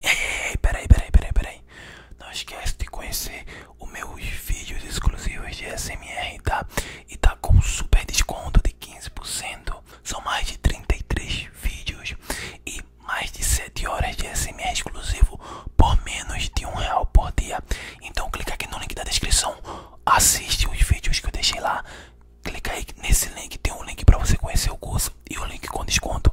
Ei, ei, peraí, peraí, peraí, peraí. Não esquece de conhecer os meus vídeos exclusivos de SMR, tá? E tá com super desconto de 15%. São mais de 33 vídeos e mais de 7 horas de SMR exclusivo por menos de um real por dia. Então clica aqui no link da descrição, assiste os vídeos que eu deixei lá. Clica aí nesse link, tem um link para você conhecer o curso e o link com desconto.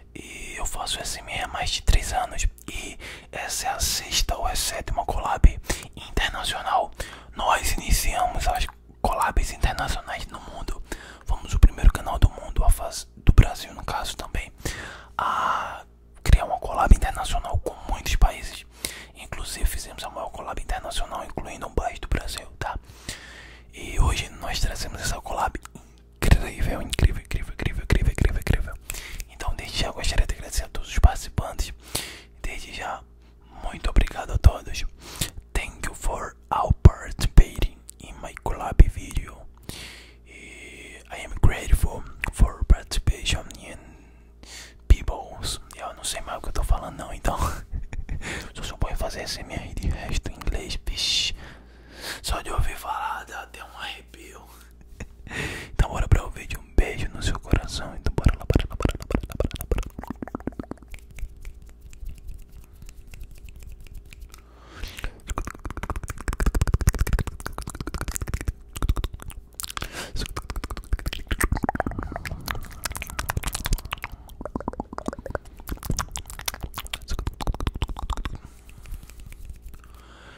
E eu faço SMR há mais de 3 anos. E essa é a sexta ou a sétima collab internacional. Nós iniciamos as collabs internacionais no mundo. Fomos o primeiro canal do mundo, a faz... do Brasil no caso também, a criar uma collab internacional com muitos países. Inclusive fizemos a maior collab internacional, incluindo o Brasil, tá? E hoje nós trazemos essa collab Incrível, incrível, incrível, incrível, incrível, incrível, incrível. Então, desde já gostaria de agradecer a todos os participantes. Desde já, muito obrigado a todos. Thank you for all participating in my collab video. E I am grateful for participation in people's. Eu não sei mais o que eu tô falando, não, então. Só suponho fazer SMR de resto em inglês, bicho. Só de ouvir falar dá até um arrepio. Então bora para o vídeo, um beijo no seu coração, então bora lá, bora lá, bora lá, bora lá, bora lá, bora lá.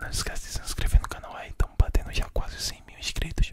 Não esquece de se inscrever no canal aí, estamos batendo já quase cem mil inscritos.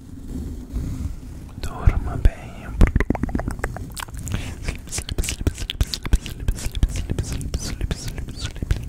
Dorma bem. Sleep, sleep, sleep, sleep, sleep, sleep, sleep, sleep, sleep, sleep, sleep.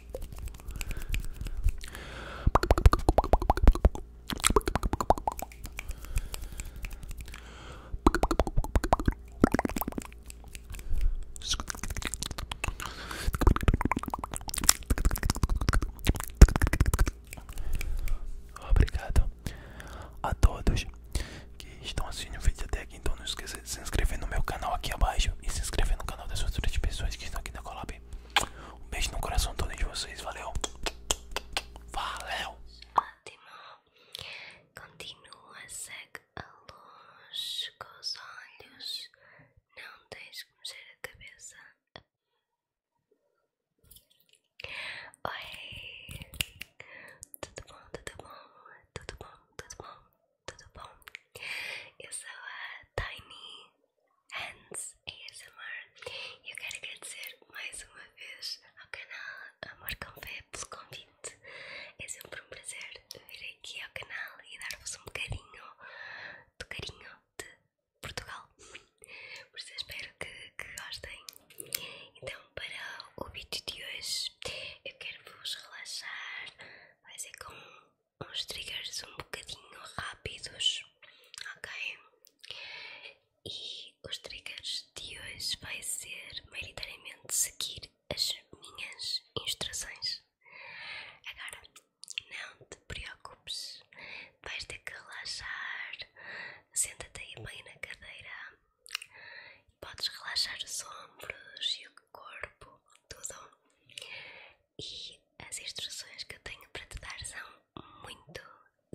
Obrigado a todos que estão assistindo o vídeo até aqui. Então não esqueça de se inscrever no meu canal aqui abaixo e se inscrever no canal das outras pessoas que estão aqui na Colab. Um beijo no coração todo de vocês. Valeu. Valeu. Ótimo. Continua, segue a luz com os olhos. Não tens que mexer a cabeça. Oi. Tudo bom, tudo bom, tudo bom, tudo bom, tudo bom. Eu sou a Tiny. Hands ASMR e eu quero agradecer mais uma vez ao canal Amor com Confé pelo convite. É sempre um prazer vir aqui ao canal e dar-vos um bocadinho do carinho de Portugal. Por isso eu espero que, gostem. Então, para o vídeo de hoje, eu quero vos relaxar. Vai ser com uns triggers um bocadinho rápidos, ok? E os triggers de hoje vai ser maioritariamente seguir as minhas instruções. Agora, não te preocupes, vais ter que relaxar, senta-te aí bem na cadeira, e podes relaxar os ombros e o corpo, tudo. E as instruções que eu tenho para te dar são muito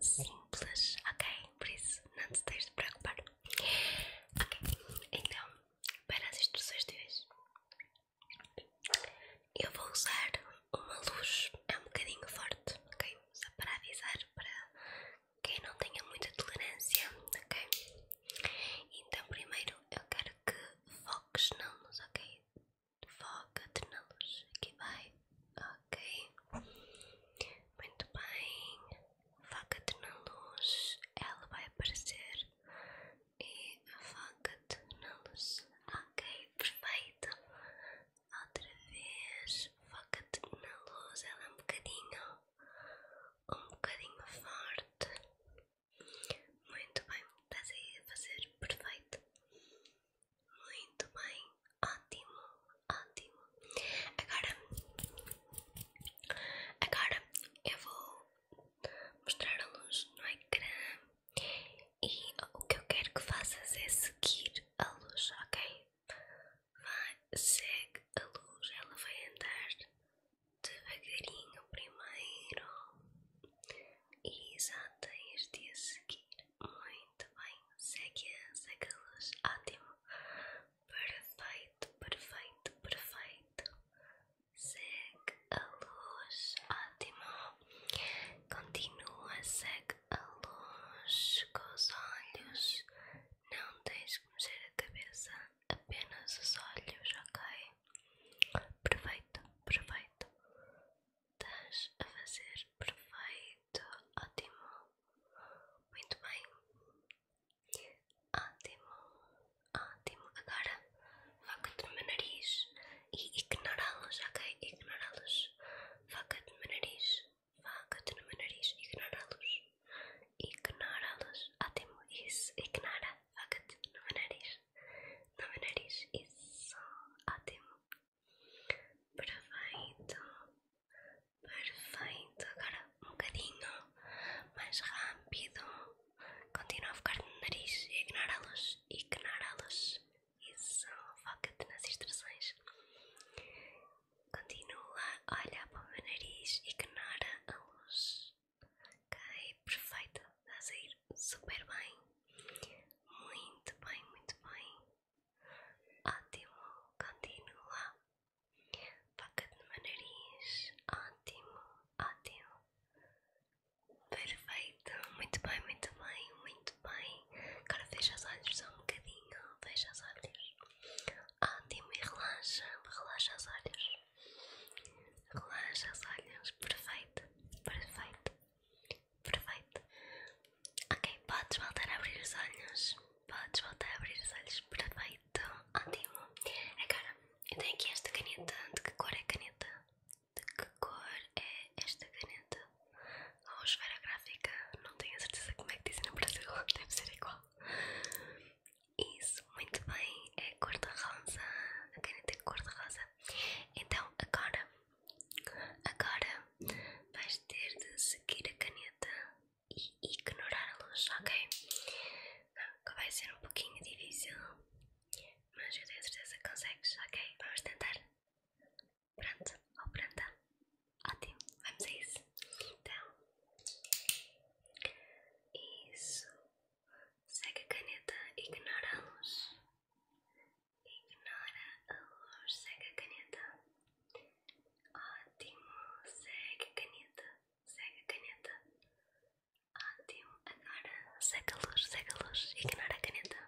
simples, ok? Por isso não te tens de preocupar. Ok, então para as instruções de hoje eu vou usar uma luz, é um bocadinho forte, ok? Só para avisar para quem não tenha muita tolerância, ok? Então primeiro eu quero que foques na ok? foca-te na luz, aqui vai, ok, muito bem, foca-te na luz, ela vai aparecer e foca-te na luz, ok, perfeito, outra vez, foca-te na luz, ela é um bocadinho, um bocadinho forte, muito bem, estás aí a fazer perfeito. Muito bem, ótimo, ótimo. Agora, agora eu vou mostrar a luz no ecrã e o que eu quero que faças é seguir a luz, ok? Vai, segue a luz, ela vai andar devagarinho primeiro exato janta este a seguir. Muito bem, segue, segue a luz, ótimo, perfeito, perfeito, perfeito. Segue a luz, ótimo. Continua, segue a luz com os olhos. Não tens que mexer a cabeça, apenas os olhos, ok? Perfeito, perfeito, Estás a fazer perfeito, ótimo, muito bem, ótimo, ótimo. Agora foca no meu nariz e ignorá-los, ok? Ignorá-los, foca no meu nariz, foca no meu nariz, ignorá-los, ignorá-los, ótimo, isso, ignora, foca no meu nariz, pelo nariz. Isso, ótimo. Perfeito, perfeito. Agora um bocadinho mais rápido. Continua a focar no nariz. e Ignora a luz, ignora a luz. Isso, foca-te nas instruções. Continua, olha para o meu nariz, e ignora a luz. Ok, perfeito. Estás aí super bem. Muito bem, muito bem. Ótimo, continua. toca de no meu nariz. Ótimo, ótimo. Perfeito, muito bem, muito bem, muito bem. Agora fecha os olhos só um bocadinho. Fecha os olhos. Ótimo, e relaxa, relaxa os olhos. Relaxa os olhos, perfeito, perfeito. Perfeito. Ok, podes voltar a abrir os olhos. Podes voltar a abrir os olhos. Perfeito. Ótimo. Agora, eu tenho aqui esta caneta. De que cor é a caneta? De que cor é esta caneta? Ou oh, esfera gráfica? Não tenho a certeza como é que dizem no Brasil. Deve ser igual. Isso, muito bem. É cor de rosa. A caneta é cor de rosa. Então, agora Agora vais ter de seguir a caneta e ignorar a luz, ok? que vai ser um pouquinho difícil, mas eu tenho certeza que consegues, ok? Vamos tentar. Pronto, ou pronta? Ótimo, vamos a isso. Então, isso. Segue a caneta, ignora a luz. Ignora a luz, segue a caneta. Ótimo, segue a caneta, segue a caneta. Ótimo, agora segue a luz, segue a luz, ignora a caneta.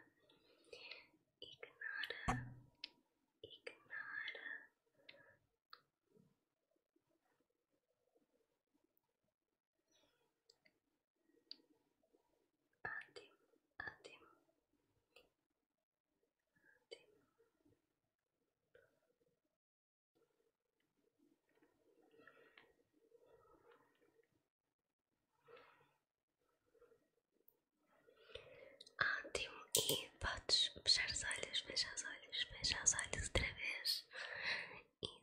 Ignora, ignora. Adem, adem, adem. Ótimo, e podes fechar os olhos, fechar os olhos, fechar os olhos outra vez.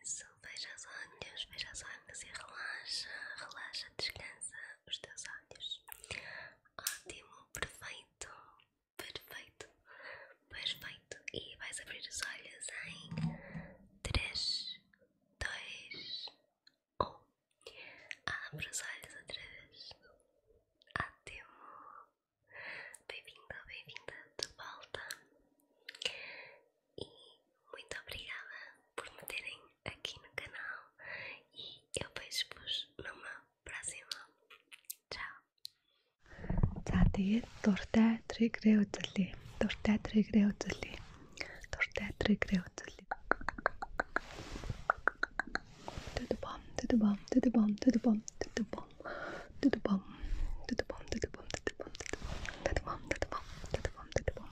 Isso, fechar os olhos, fechar os olhos e relaxa, relaxa, descansa descansa os teus olhos. Ótimo, perfeito, perfeito, perfeito. E vais abrir os olhos em 3, 2, 1. Abre os olhos outra vez. Ótimo. Bem-vinda, bem-vinda de volta e muito obrigada por me terem aqui no canal e eu vejo-vos numa próxima. Ciao. За тэгээд дуртай тригрээ үзүүлье. Дуртай тригрээ үзүүлье. Дуртай тригрээ үзүүлье. Тэд бом, тэд бом, тэд бом, тэд бом, тэд бом. Тэд бом. Тэд бом, тэд бом, тэд бом, тэд бом. Тэд бом, тэд бом, тэд бом, тэд бом.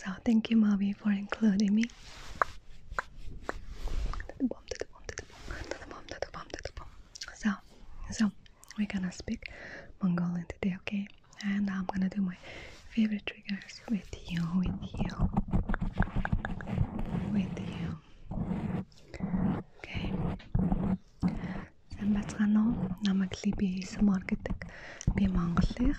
So thank you, Mommy, for including me. So, so we're gonna speak Mongolian today, okay? And I'm gonna do my favorite triggers with you, with you, with you. Okay. Сайн бацгаана уу? Намайг Либи Самаргитэг. Би Монголынх.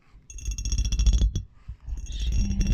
shield, shield. Shield.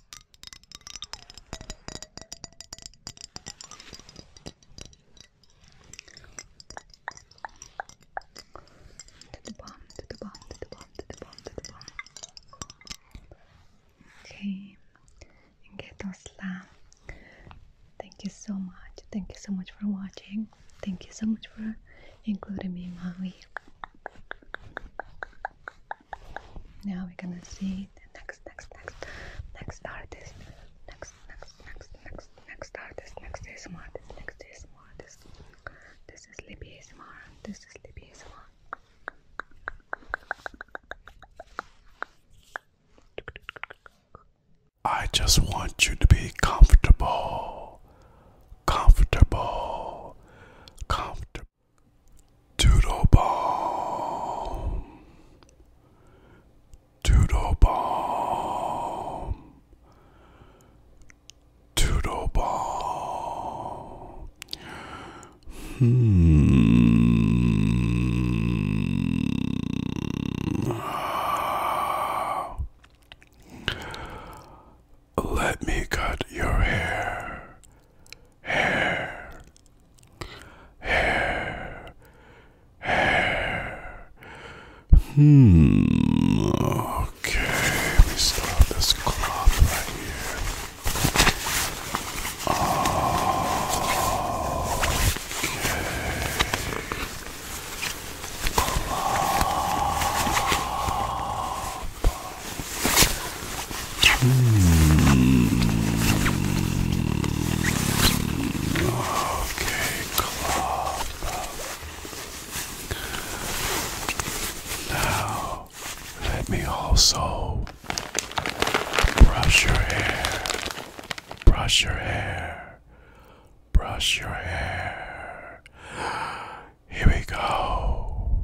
To bomb, to bomb, to bomb, to bomb, to bomb. Okay, Getosla. Thank you so much. Thank you so much for watching. Thank you so much for including me, Maui. Now we're gonna see the next, next, next, next artist. Next, next, next, next, next artist. Next is artist. Next is more. This is Libby ASMR. This is Libby ASMR. I just want you to be comfortable, comfortable, comfortable. Doodle bomb. Doodle bomb. Doodle bomb. Hmm. Let me cut your hair hair, hair, hair. Hmm. Okay, let start this cloth right here. Okay. Clop. Okay, claw. Now, let me also brush your hair, brush your hair, brush your hair. Here we go.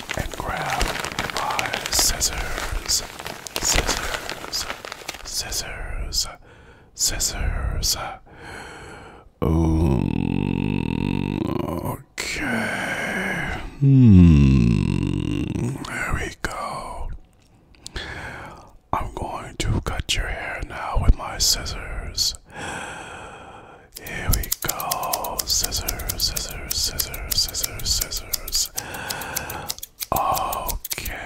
and grab my scissors, scissors, scissors, scissors. Um, okay. Hmm. we go. I'm going to cut your hair now with my scissors. Here we go. Scissors, scissors, scissors, scissors, scissors. Okay.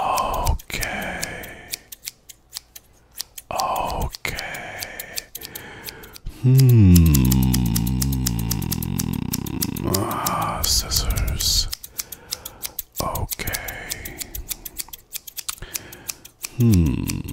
Okay. Okay. Hmm. Ah, scissors. Okay. Hmm.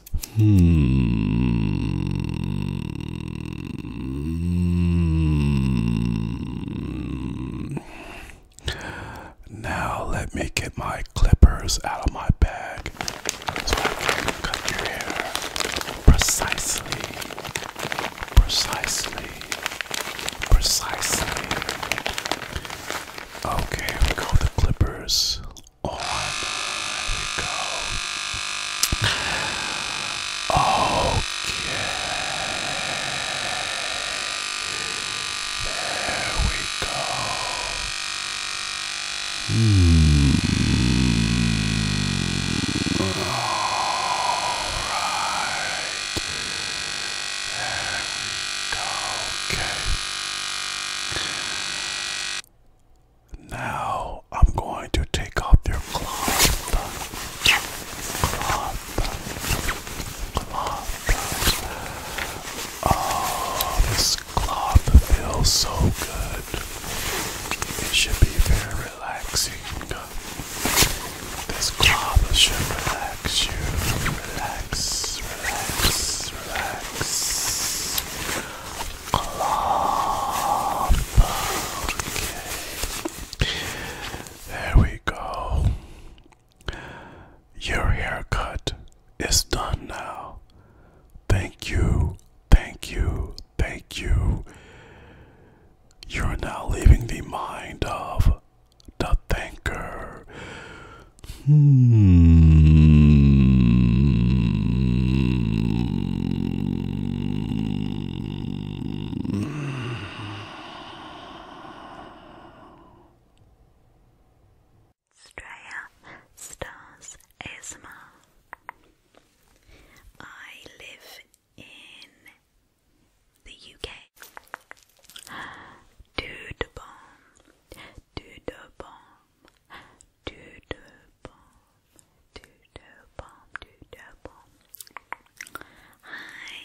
Hmm. Now let me get my clippers out of my bag precisely, precisely, precisely. Okay, go the clippers. There we go. Okay. There we go. All right. There we go. Now I'm going to take off your cloth. Cloth. Cloth. Oh, this cloth feels so good. It should be very relaxing. This cloth should relax you. Relax, relax, relax. There we go. Your haircut is done now. Thank you, thank you, thank you. You're now leaving the mind of the thinker. Hmm. Straya Stars ASMR. I live in the UK. Doodabom, doodabom, Doodle bomb, doodle bomb, doodle bomb. Hi,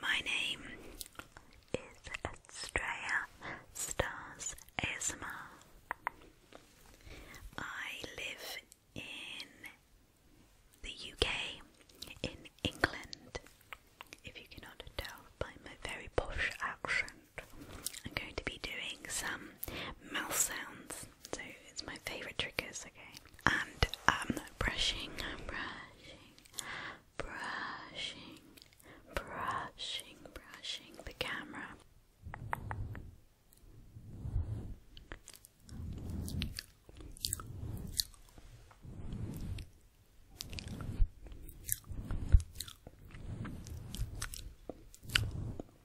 my name is Estrella Stars ASMR. I live in the UK, in England. If you cannot tell by my very posh accent. I'm going to be doing some mouth sounds. So it's my favourite triggers, okay? And brushing, brushing, brushing, brushing, brushing the camera.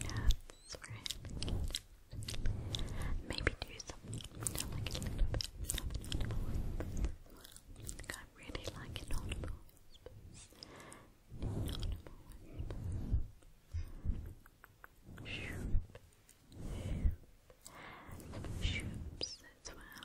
That's right. Maybe do something like a little bit of an I really like it whispers. Inaudible whispers. Shoop. Shoops well.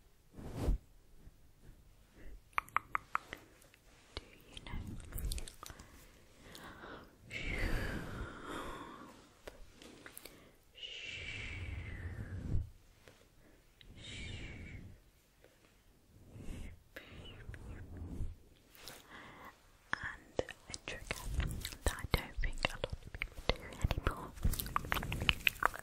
Do you know? And a trigger that I don't think a lot of people do anymore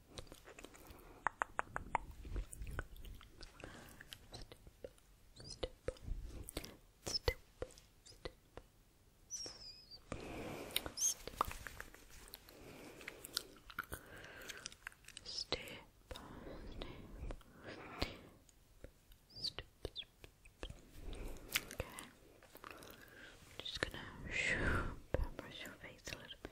Step, step, step, step, step, step, Okay. I'm just gonna brush your face a little I've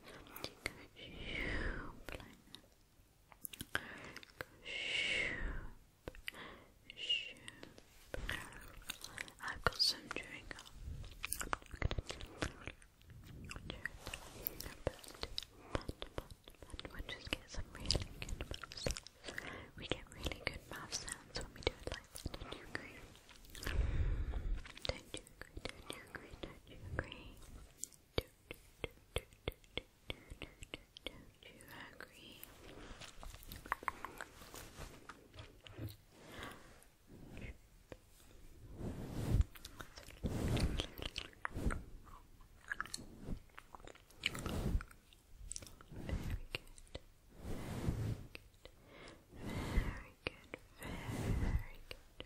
got some chewing gum. we get really good mouth sounds. when we do it like that. you Don't you agree? Don't you agree? Don't you agree? Don't you agree? Very good. Very good. Very good. Very good.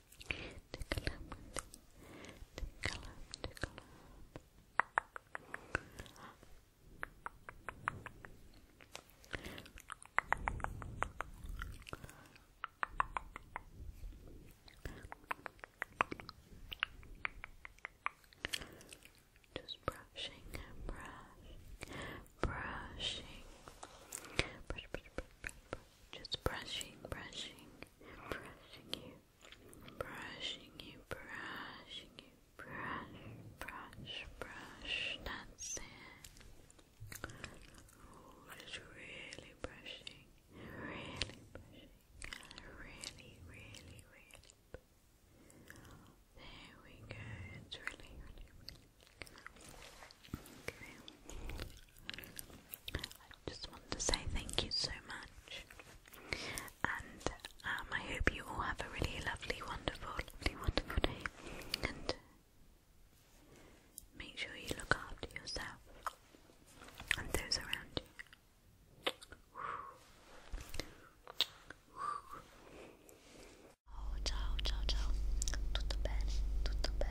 Tickle up, Just brushing and brushing, brushing, brush, brush, brush, brush. Just brushing, brushing, brushing you, brushing you, brushing you, brush, brush, brush. That's it. Oh, just really brushing, really brushing, really, really, really. There we go. It's really, really, really. Okay. I just want to say thank you so much. And um, I hope you all have a really lovely, wonderful, lovely, wonderful day. And make sure you look after yourself and those around you. ciao, ciao, ciao. Tutto bene, tutto bene. bene.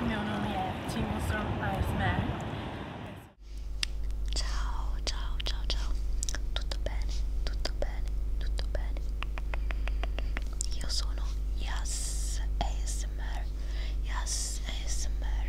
Il mio nome è Jimmy Strong Iceman. Ciao, ciao, ciao, ciao. Tutto bene, tutto bene, tutto bene. Io sono Yas ASMR. Yas ASMR.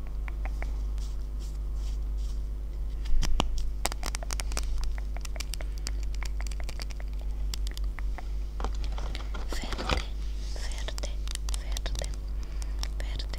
Verde, verde, verde, verde. Verde,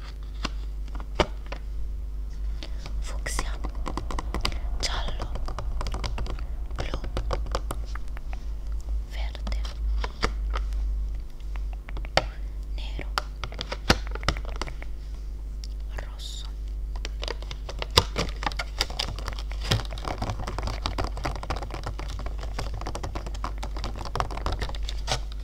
fucsia giallo blu verde nero rosso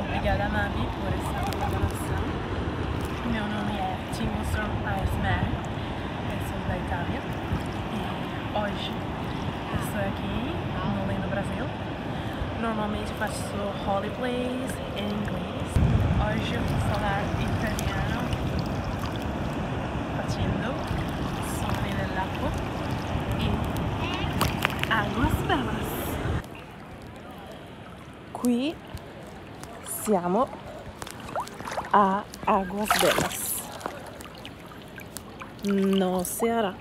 Obrigada, Mami, por essa colaboração. Meu nome é Timo from Eismer, eu sou da Itália e hoje estou aqui no lindo Brasil. Normalmente faço roleplays em inglês. Hoje eu vou falar italiano facendo sobre il lago e águas belas. qui siamo a Aguas Belas, no Ceará,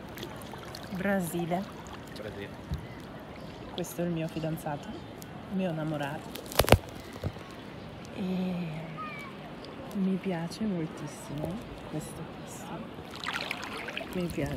Brasile. Brasile. Questo è il mio fidanzato, il mio innamorato. E mi piace moltissimo questo posto. Mi piace.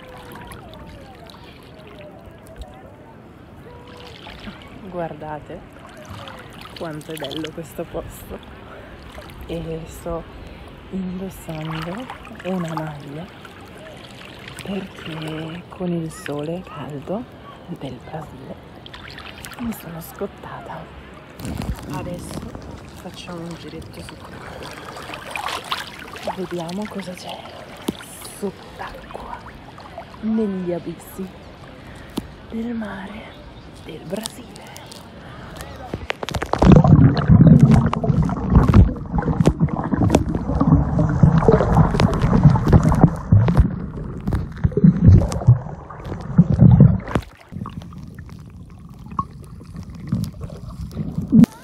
guardate quanto è bello questo posto e sto indossando una maglia perché con il sole caldo del Brasile mi sono scottata adesso facciamo un giretto sott'acqua vediamo cosa c'è sott'acqua negli abissi del mare del Brasile Mm-hmm.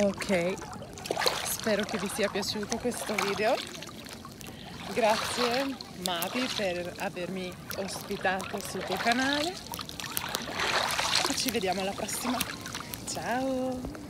Ok, spero che vi sia piaciuto questo video. Grazie Mavi per avermi ospitato sul tuo canale. E ci vediamo alla prossima. Ciao!